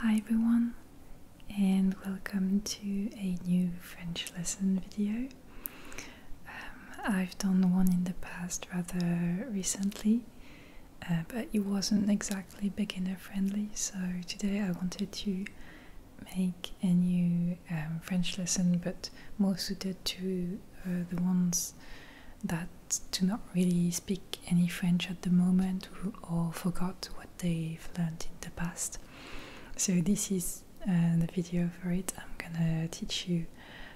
Hi everyone and welcome to a new French lesson video. Um, I've done one in the past rather recently uh, but it wasn't exactly beginner friendly so today I wanted to make a new um, French lesson, but more suited to uh, the ones that do not really speak any French at the moment or forgot what they've learned in the past. So this is uh, the video for it. I'm gonna teach you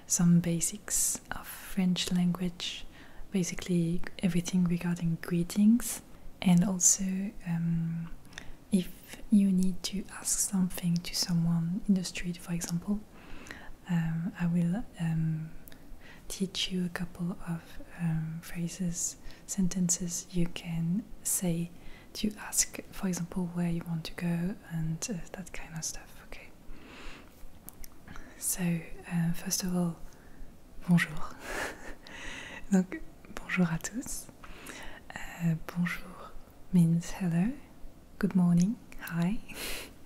some basics of French language, basically everything regarding greetings and also um, if you need to ask something to someone in the street, for example, um, I will um, teach you a couple of um, phrases, sentences you can say to ask, for example, where you want to go and uh, that kind of stuff. Okay. So, uh, first of all, bonjour. Donc, Bonjour à tous. Euh, bonjour means hello. Good morning. Hi.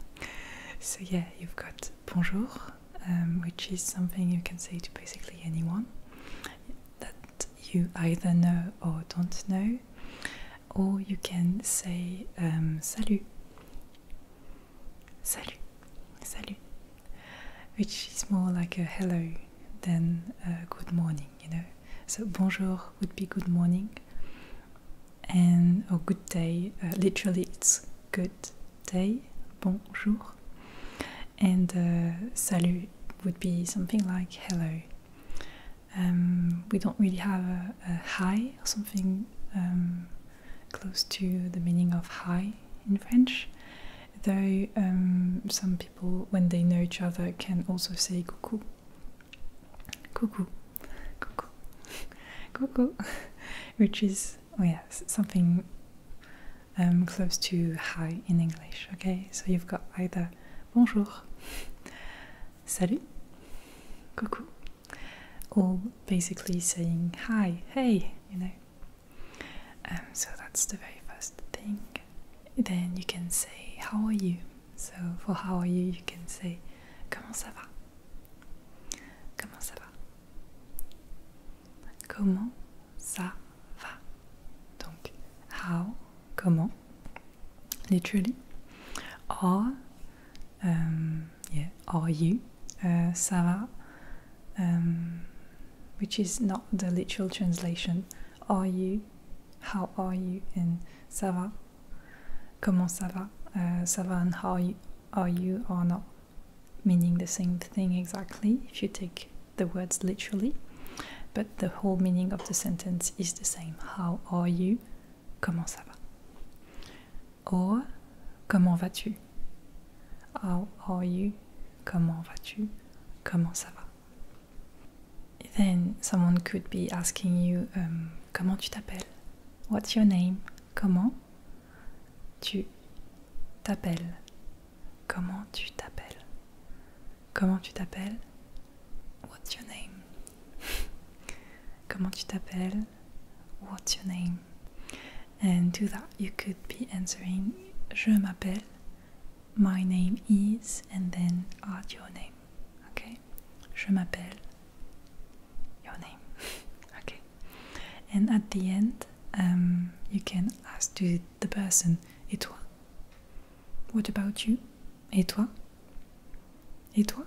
so, yeah, you've got bonjour, um, which is something you can say to basically anyone that you either know or don't know, or you can say um, salut. Salut. Salut. Which is more like a hello than a good morning you know. So bonjour would be good morning, and or good day. Uh, literally, it's good day, bonjour, and uh, salut would be something like hello. Um, we don't really have a, a hi or something um, close to the meaning of hi in French. Though um, some people, when they know each other, can also say cuckoo, cuckoo, cuckoo, cuckoo, which is oh yeah something um, close to hi in English. Okay, so you've got either bonjour, salut, cuckoo, or basically saying hi, hey, you know. Um, so that's the very first thing then you can say how are you. So for how are you, you can say comment ça va. Comment ça va? Comment ça va? Donc how comment literally are um, yeah are you uh, ça va um, which is not the literal translation are you how are you and ça va comment ça va uh, ça va and how you, are you or not meaning the same thing exactly if you take the words literally but the whole meaning of the sentence is the same how are you comment ça va or comment vas-tu how are you comment vas-tu comment ça va Then someone could be asking you um, comment tu t'appelles? What's your name? Comment tu t'appelles? Comment tu t'appelles? Comment tu t'appelles? What's your name? Comment tu t'appelles? What's your name? And to that you could be answering Je m'appelle my name is, and then add your name. Okay? Je m'appelle. Your name. okay. And at the end, um, you can ask to the person, Et toi? What about you? Et toi? Et toi?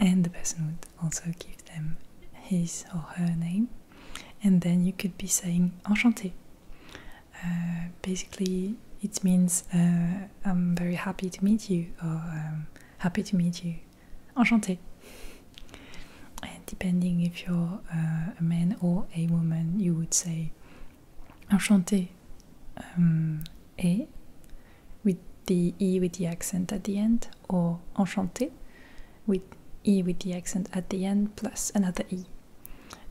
and the person would also give them his or her name. And then you could be saying enchanté. Uh, basically, it means uh, I'm very happy to meet you or um, happy to meet you. Enchanté. And depending if you're uh, a man or a woman, you would say enchanté. Um, with the e with the accent at the end, or enchanté with e with the accent at the end plus another e.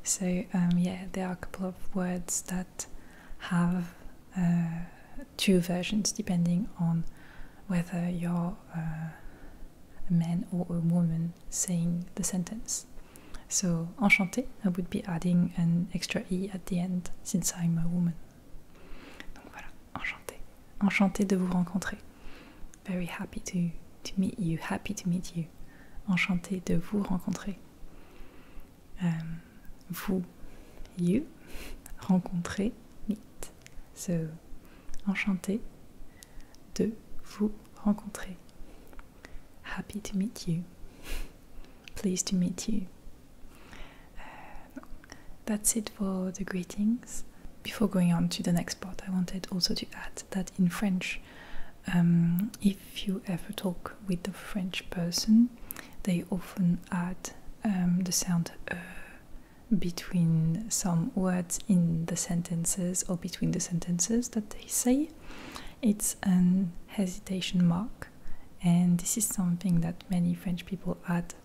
So um, yeah, there are a couple of words that have uh, two versions depending on whether you're uh, a man or a woman saying the sentence. So enchanté, I would be adding an extra e at the end since I'm a woman. Donc voilà, enchanté, enchanté de vous rencontrer. Very happy to to meet you, happy to meet you. Enchanté de vous rencontrer. Euh, vous, you, rencontrer, meet. So, enchanté de vous rencontrer. Happy to meet you. Pleased to meet you. Uh, that's it for the greetings. Before going on to the next part, I wanted also to add that in French, Um, if you ever talk with a French person, they often add um, the sound uh, between some words in the sentences or between the sentences that they say. It's an hesitation mark, and this is something that many French people add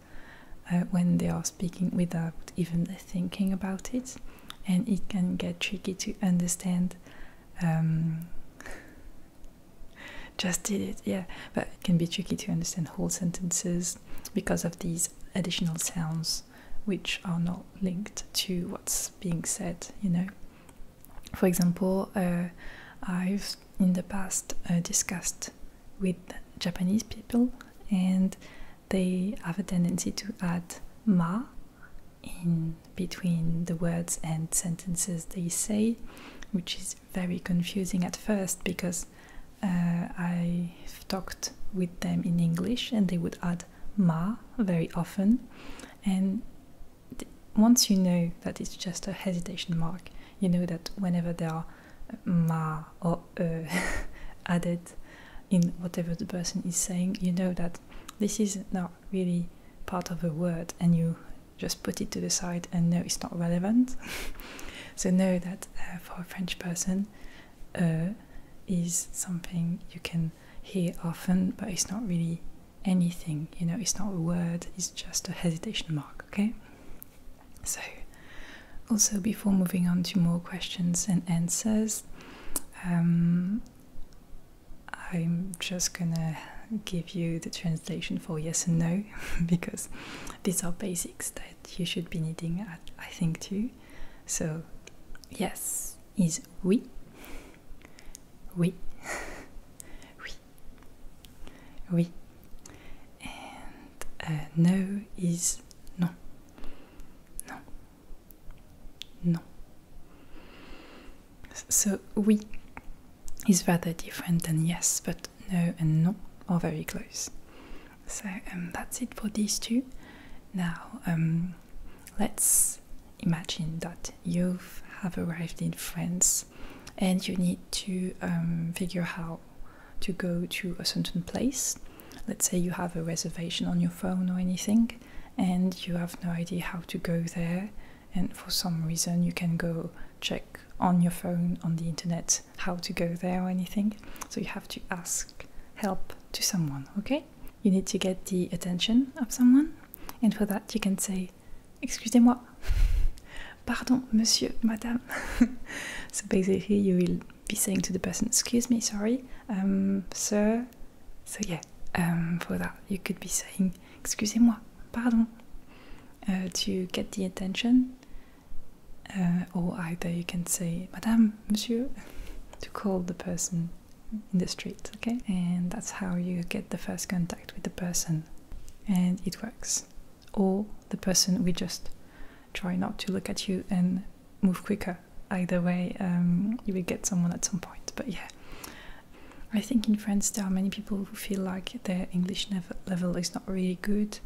uh, when they are speaking without even thinking about it and it can get tricky to understand. Um, just did it, yeah, but it can be tricky to understand whole sentences because of these additional sounds which are not linked to what's being said, you know. For example, uh, I've in the past uh, discussed with Japanese people and they have a tendency to add ma in between the words and sentences they say, which is very confusing at first because uh, i talked with them in English and they would add ma very often. And once you know that it's just a hesitation mark, you know that whenever there are uh, ma or e added in whatever the person is saying, you know that this is now really part of a word and you just put it to the side and know it's not relevant. so know that uh, for a French person, uh, is something you can hear often, but it's not really anything. You know, it's not a word. It's just a hesitation mark. Okay. So, also before moving on to more questions and answers, um, I'm just gonna give you the translation for yes and no because these are basics that you should be needing I think too. So yes is oui. Oui. oui. Oui. And uh, no is non. Non. No. So oui is rather different than yes, but no and non are very close. So um, that's it for these two. Now um, let's imagine that you have arrived in France and you need to um, figure how to go to a certain place. Let's say you have a reservation on your phone or anything, and you have no idea how to go there and for some reason you can go check on your phone on the internet how to go there or anything so you have to ask help to someone okay you need to get the attention of someone and for that you can say excusez-moi pardon monsieur madame so basically you will be saying to the person excuse me sorry um sir so yeah, for um, that you could be saying, excusez-moi, pardon, uh, to get the attention. Uh, or either you can say, madame, monsieur, to call the person in the street, okay? And that's how you get the first contact with the person. And it works. Or the person we just try not to look at you and move quicker Either way, um, you will get someone at some point. But yeah, I think in France there are many people who feel like their English level is not really good,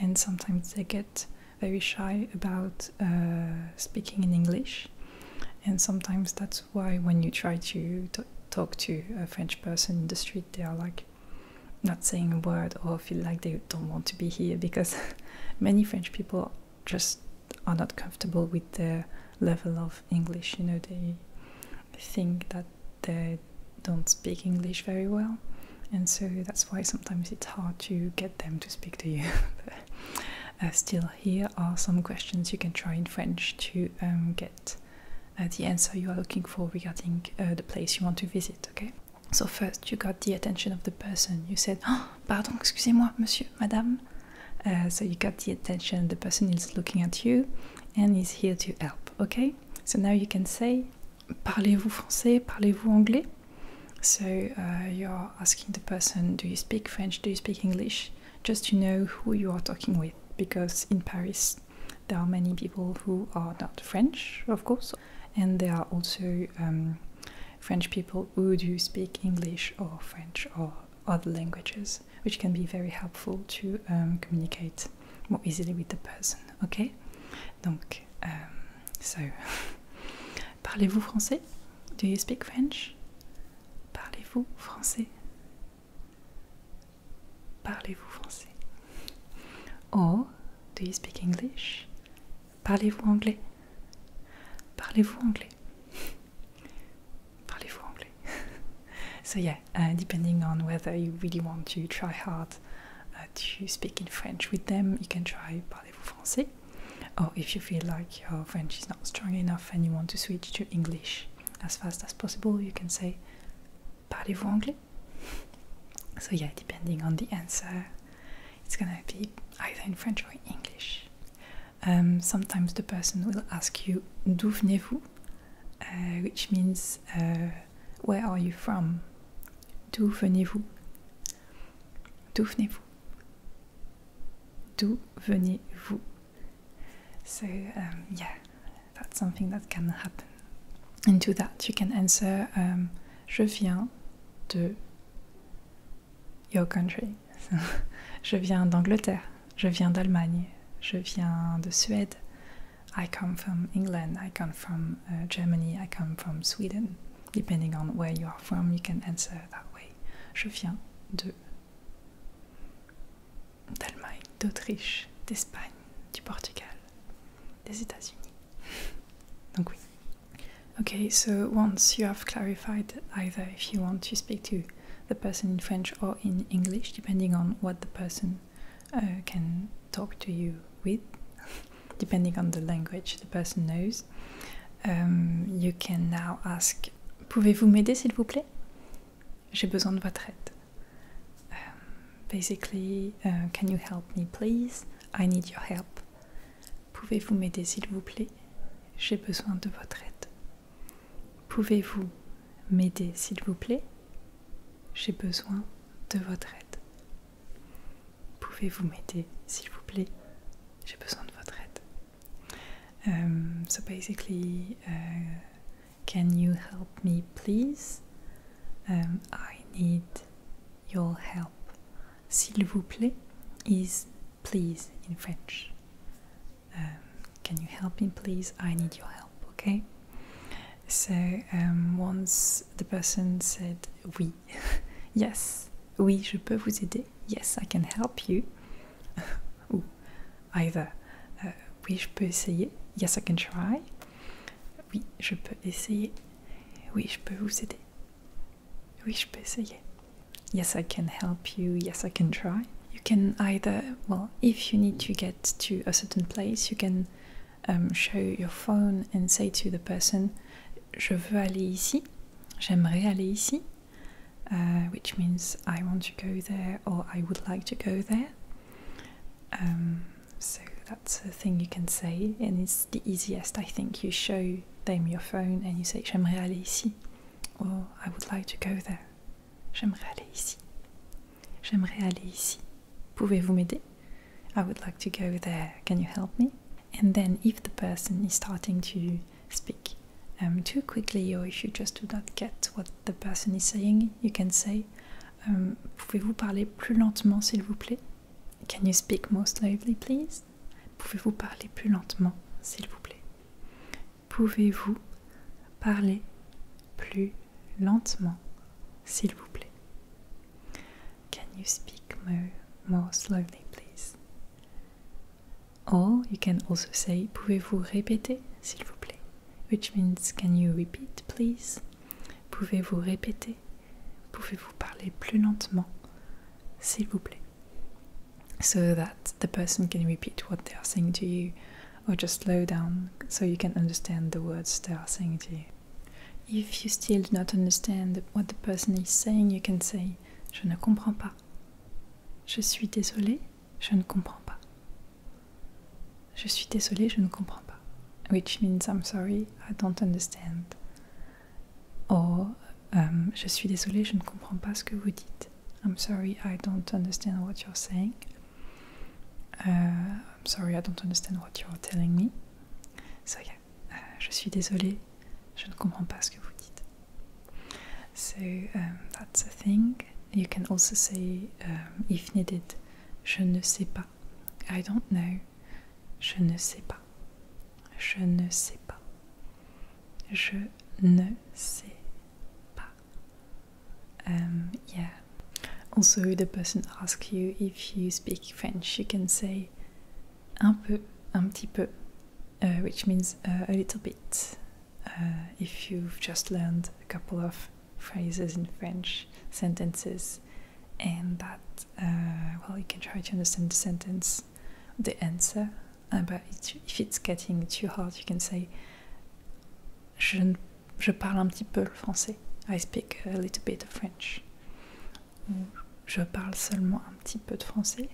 and sometimes they get very shy about uh, speaking in English. And sometimes that's why when you try to talk to a French person in the street, they are like not saying a word or feel like they don't want to be here because many French people just are not comfortable with their level of English. You know, they think that they don't speak English very well, and so that's why sometimes it's hard to get them to speak to you. Uh, still, here are some questions you can try in French to um, get uh, the answer you are looking for regarding uh, the place you want to visit. Okay. So first, you got the attention of the person. You said, "Ah, "Pardon, excusez-moi, monsieur, madame." Uh, so you got the attention, the person is looking at you and is here to help, okay? So now you can say, Parlez-vous français? Parlez-vous anglais? So uh, you're asking the person, Do you speak French? Do you speak English? Just to know who you are talking with, because in Paris there are many people who are not French, of course, and there are also um, French people who do speak English or French or other languages, which can be very helpful to um, communicate more easily with the person. Okay? Donc, um, so, parlez-vous français? Do you speak French? Parlez-vous français? Parlez-vous français? Or, do you speak English? Parlez-vous anglais? Parlez-vous anglais? Parlez-vous anglais? so, yeah, uh, depending on whether you really want to try hard uh, to speak in French with them, you can try Parlez-vous français. Or if you feel like your French is not strong enough and you want to switch to English as fast as possible, you can say Parlez-vous anglais? So, yeah, depending on the answer, it's gonna be either in French or in English. Um, sometimes the person will ask you D'où venez-vous? Uh, which means uh, where are you from? D'où venez-vous? D'où venez-vous? D'où venez-vous? So um, yeah, that's something that can happen. And to that you can answer um, Je viens de your country. je viens d'Angleterre, je viens d'Allemagne, je viens de Suède. I come from England, I come from uh, Germany, I come from Sweden. Depending on where you are from, you can answer that way. Je viens de d'Allemagne, d'Autriche, d'Espagne, du Portugal, des États-Unis. Donc oui. Okay, so once you have clarified either if you want to speak to the person in French or in English, depending on what the person uh, can talk to you with, depending on the language the person knows. Um, you can now ask Pouvez-vous m'aider s'il vous plaît? J'ai besoin de votre aide. Um, basically, uh, can you help me please? I need your help. Pouvez-vous m'aider s'il vous plaît? J'ai besoin de votre aide. Pouvez-vous m'aider, s'il vous plaît J'ai besoin de votre aide. Pouvez-vous m'aider, s'il vous plaît J'ai besoin de votre aide. Um, so basically, uh, can you help me, please um, I need your help. S'il vous plaît is please in French. Um, can you help me, please? I need your help, okay? So um, once the person said oui, yes, oui, je peux vous aider, yes, I can help you, ou either uh, oui, je peux essayer, yes, I can try, oui, je peux essayer, oui, je peux vous aider, oui, je peux essayer yes i can help you yes i can try you can either well if you need to get to a certain place you can um, show your phone and say to the person je veux aller ici j'aimerais aller ici uh, which means i want to go there or i would like to go there um, so that's a thing you can say and it's the easiest i think you show them your phone and you say j'aimerais aller ici or i would like to go there J'aimerais aller ici. J'aimerais aller ici. Pouvez-vous m'aider? I would like to go there. Can you help me? And then, if the person is starting to speak um, too quickly, or if you just do not get what the person is saying, you can say, um, Pouvez-vous parler plus lentement, s'il vous plaît? Can you speak more slowly, please? Pouvez-vous parler plus lentement, s'il vous plaît? Pouvez-vous parler plus lentement, s'il vous plaît? Can you speak more, slowly, please? Or you can also say, pouvez-vous répéter, s'il vous plaît? Which means, can you repeat, please? Pouvez-vous répéter? Pouvez-vous parler plus lentement, s'il vous plaît? so that the person can repeat what they are saying to you or just slow down so you can understand the words they are saying to you. If you still do not understand what the person is saying, you can say Je ne comprends pas. Je suis désolé, je ne comprends pas. Je suis désolé, je ne comprends pas. Which means I'm sorry, I don't understand. Or um, Je suis désolé, je ne comprends pas ce que vous dites. I'm sorry, I don't understand what you're saying. Uh, I'm sorry, I don't understand what you're telling me. So yeah, uh, je suis désolé, je ne comprends pas ce que vous dites. So um, that's a thing. You can also say, um, if needed, je ne sais pas. I don't know. Je ne sais pas. Je ne sais pas. Je ne sais pas. Um, yeah. Also, the person asks you if you speak French, you can say un peu, un petit peu, uh, which means uh, a little bit. Uh, if you've just learned a couple of phrases in French, sentences, and that, well, you can try to understand the sentence, the answer Ah but if it's getting too hard, you can say je, parle un petit peu français. I speak a little bit of French. je parle seulement un petit peu de français.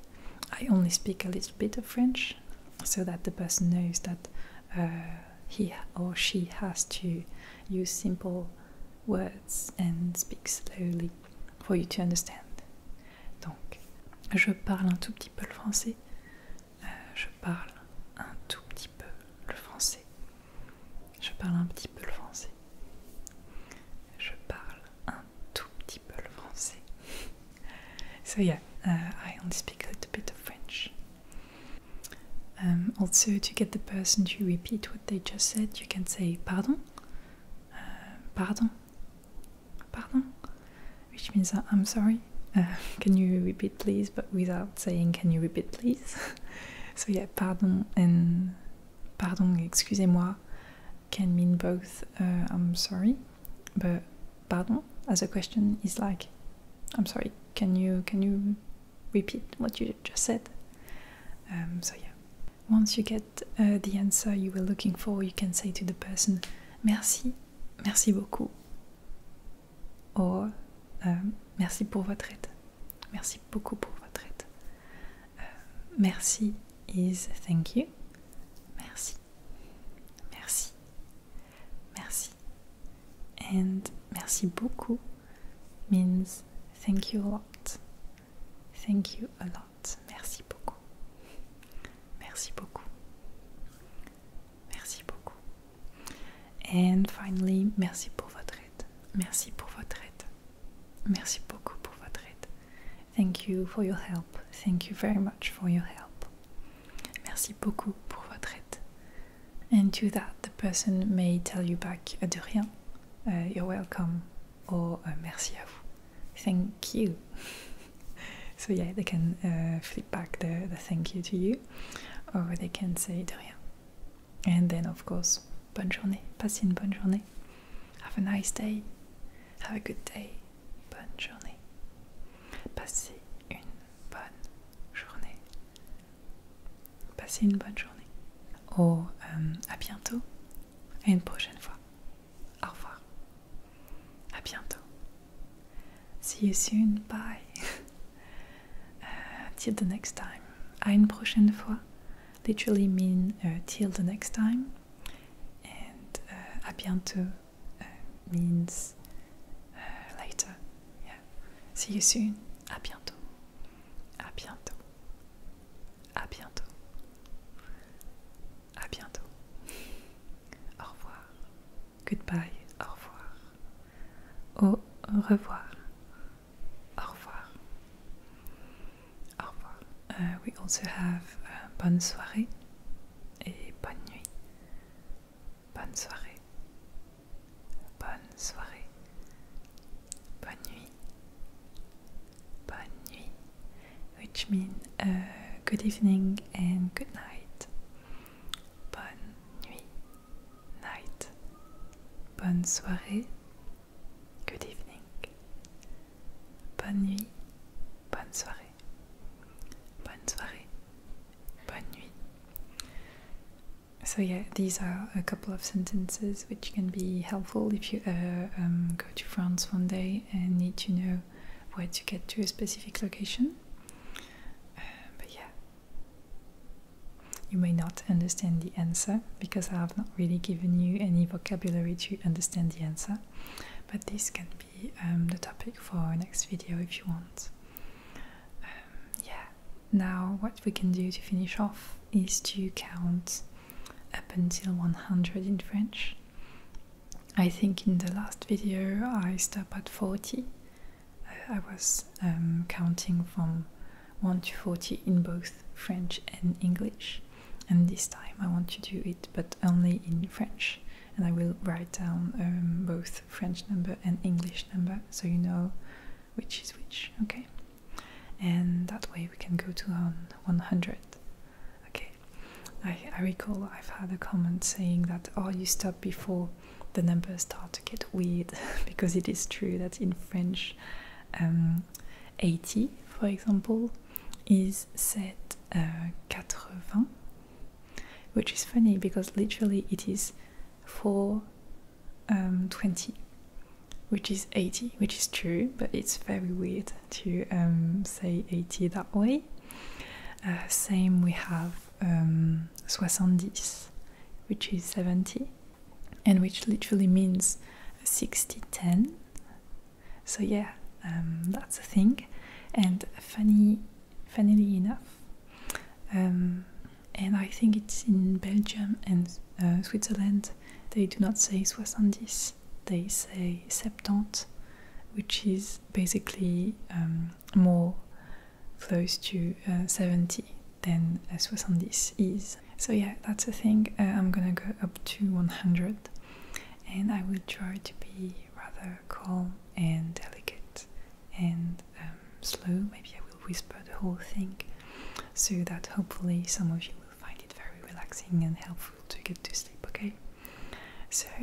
I only speak a little bit of French, so that the person knows that uh, he or she has to use simple words and speak slowly for you to understand. Donc, je parle un tout petit peu français. Euh, je parle un tout petit peu le français. Je parle un petit peu le français. Je parle un tout petit peu le français. so yeah, uh, I only speak a little bit of French. Um, also, to get the person to repeat what they just said, you can say pardon, uh, pardon, Pardon? Which means I'm sorry. Uh, can you repeat please? But without saying, can you repeat please? so yeah, pardon and pardon, excusez-moi, can mean both uh, I'm sorry, but pardon as a question is like I'm sorry. Can you can you repeat what you just said? Um, so yeah. Once you get uh, the answer you were looking for, you can say to the person, Merci, merci beaucoup, Oh, euh, merci pour votre aide. Merci beaucoup pour votre aide. Euh, merci is thank you. Merci. Merci. Merci. And merci beaucoup means thank you a lot. Thank you a lot. Merci beaucoup. Merci beaucoup. Merci beaucoup. And finally, merci pour votre aide. Merci pour votre aide. Merci beaucoup pour votre aide. Thank you for your help. Thank you very much for your help. Merci beaucoup pour votre aide. And to that, the person may tell you back euh, de euh, you're welcome. Or euh, merci à vous. Thank you. so yeah, they can uh, flip back the, thank you to you, or they can say de rien. And then, of course, bonne journée, passe une bonne journée, have a nice day, have a good day, bonne journée, passez une bonne journée, passez une bonne journée, or um, à bientôt et une prochaine fois, au revoir, à bientôt. See you soon, bye. Uh, till the next time. À une prochaine fois literally mean uh, till the next time, and uh, à bientôt uh, means later. Yeah. See you soon. À bientôt. À bientôt. À bientôt. À bientôt. Au revoir. Goodbye. Au revoir. Au revoir. Au revoir. Au revoir. Euh, we also have euh, bonne soirée et bonne nuit. Bonne soirée. Bonne soirée. Bonne nuit. Bonne nuit. Which means euh, good evening and good night. bonne nuit, night, bonne soirée, good evening, bonne nuit, bonne soirée, bonne soirée, bonne nuit. So, yeah, these are a couple of sentences which can be helpful if you uh, um, go to France one day and need to know where to get to a specific location. Um, but yeah, you may not understand the answer because I have not really given you any vocabulary to understand the answer. But this can be um, the topic for our next video if you want. Um, yeah, now what we can do to finish off is to count up until 100 in French I think in the last video I stopped at 40. I was um, counting from 1 to 40 in both French and English, and this time I want to do it but only in French. And I will write down um, both French number and English number so you know which is which, okay? And that way we can go to 100. Okay, I, recall I've had a comment saying that, oh, you stop before the numbers start to get weird, because it is true that in French, um, 80, for example, is said uh, 80, which is funny because literally it is 420, um, which is 80, which is true, but it's very weird to um, say 80 that way. Uh, same we have um, soixante-dix, which is 70, and which literally means 60 10. So, yeah, um, that's a thing. And funny, funnily enough, um, and I think it's in Belgium and uh, Switzerland, they do not say soixante-dix, they say septante, which is basically more close to uh, 70 than uh, 70 is. So yeah, that's the thing. Uh, I'm gonna go up to 100 and I will try to be rather calm and delicate and um, slow. Maybe I will whisper the whole thing so that hopefully some of you will find it very relaxing and helpful to get to sleep, okay? So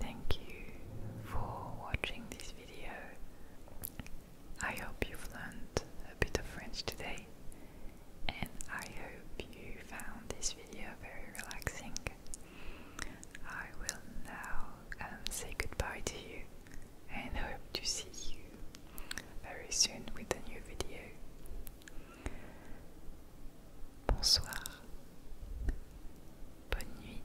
Thank you for watching this video. I hope you've learned a bit of French today, and I hope you found this video very relaxing. I will now um, say goodbye to you and hope to see you very soon with a new video. Bonsoir, bonne nuit,